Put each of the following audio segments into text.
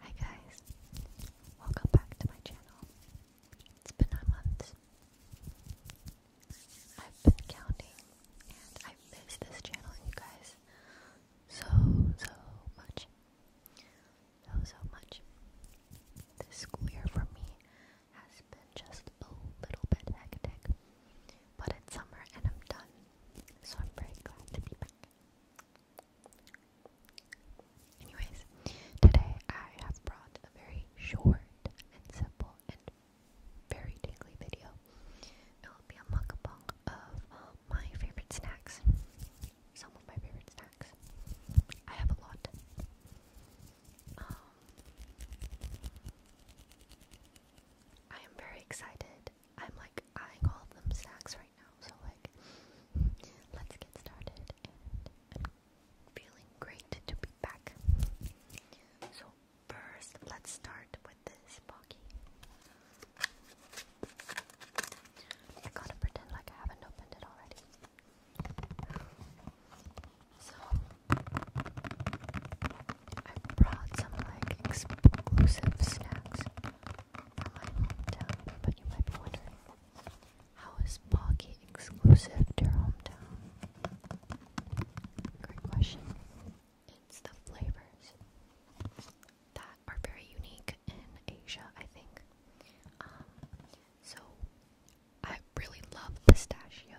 Hi guys, welcome back to my channel. It's been a month. I've been counting and I miss this channel, you guys, so, so much. So, so much. This school year for me has been just a little bit hectic, but it's summer and I'm done, so I'm very glad to be back. Anyways, today I have brought a very short and simple and very tingly video. It will be a mukbang of um, my favorite snacks. Some of my favorite snacks. I have a lot. Um, I am very excited. I'm like eyeing all of them snacks right so like, let's get started, and I'm feeling great to be back. So first, let's start with this Pocky. I gotta pretend like I haven't opened it already. So, I brought some like exclusive snacks hometown, but you might be wondering, how is Pocky exclusive to your hometown? Great question. It's the flavors that are very unique in Asia, I think. so I really love pistachio.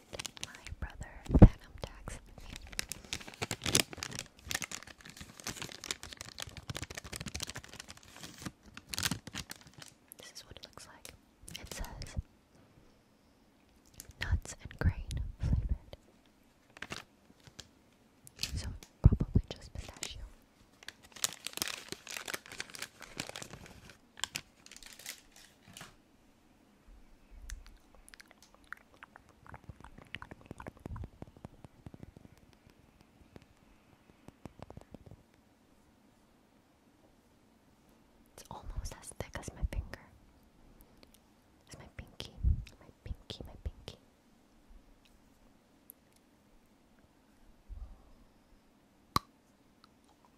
my brother Phantom texted This is what it looks like. It says nuts and grain flavored. So probably just pistachio. It's almost as thick as my finger. It's my pinky, my pinky, my pinky.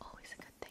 Always a good thing.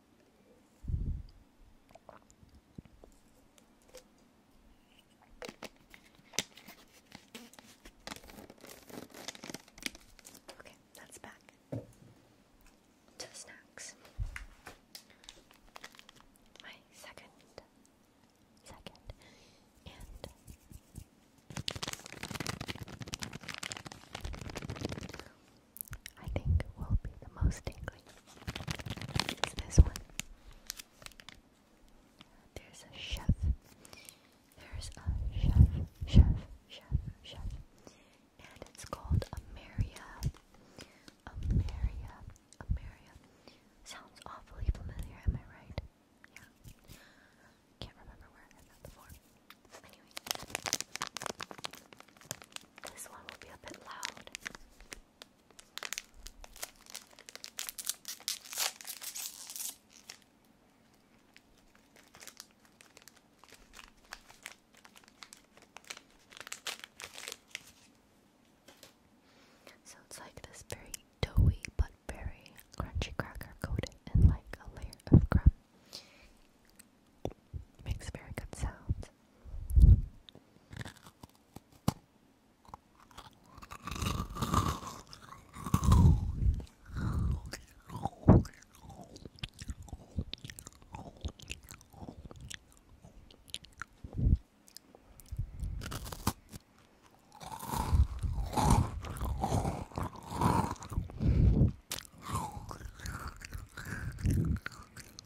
Okay, that's back to snacks. My second, second, and I think will be the most tingly is this one. There's a chef. There's a chef, chef, chef, chef. And it's called Ameria. Ameria. Ameria. Sounds awfully familiar, am I right? Yeah. Can't remember where I got the form. Anyway. This one will be a bit loud. So it's like this very doughy but very crunchy cracker coated in like a layer of crumb. Makes very good sounds.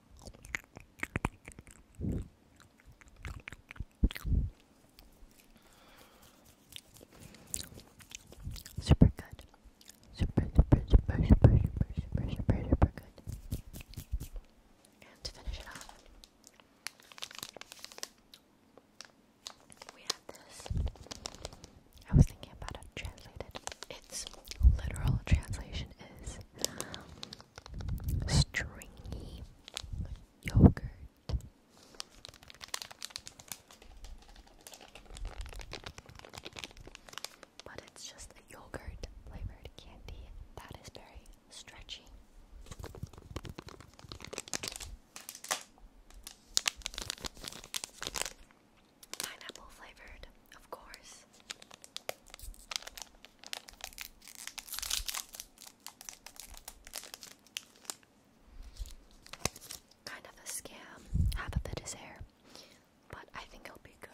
Super good. Super, super, super, super, super, super, super, good. to finish it off, we have this. I was thinking about it translated. Its literal translation is stringy yogurt. But it's just a yogurt flavored candy that is very stretchy. Pineapple flavored, of course. Kind of a scam. Half of it is hair, but I think it'll be good.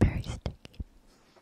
Very sticky.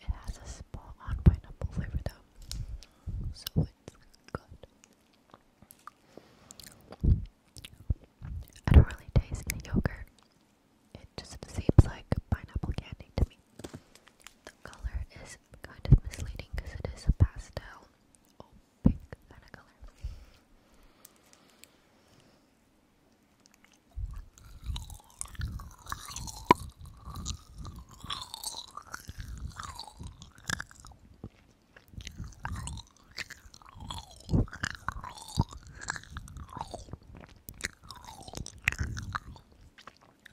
It has a spot on pineapple flavor though, so it's good. I don't really taste the yogurt. It just seems like pineapple candy to me. The color is kind of misleading because it is a pastel, oh, pink kind of color.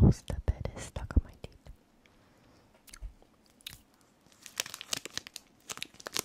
Most of it is stuck on my teeth.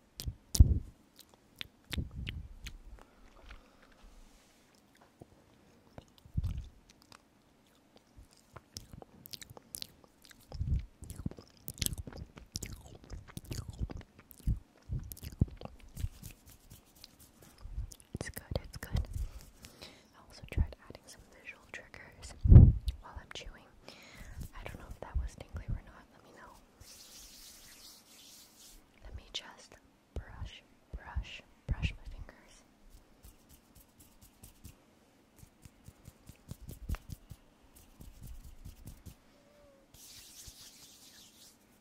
It's good, it's good. I also tried adding some visual triggers while I'm chewing. I don't know if that was tingly or not, let me know. Let me just brush, brush, brush my fingers.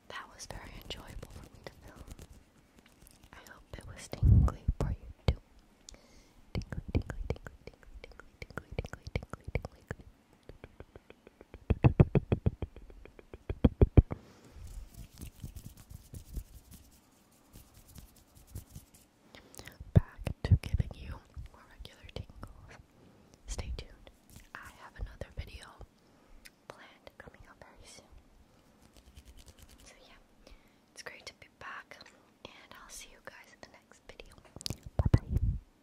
That was very enjoyable for me to film. I hope it was tingly for you too. Tingly, tingly, tingly, tingly, tingly, tingly, tingly, tingly, tingly, Back to giving you more regular tingles. Stay tuned. I have another video planned coming up very soon. So, yeah, it's great to be back, and I'll see you guys in the next video. Bye bye.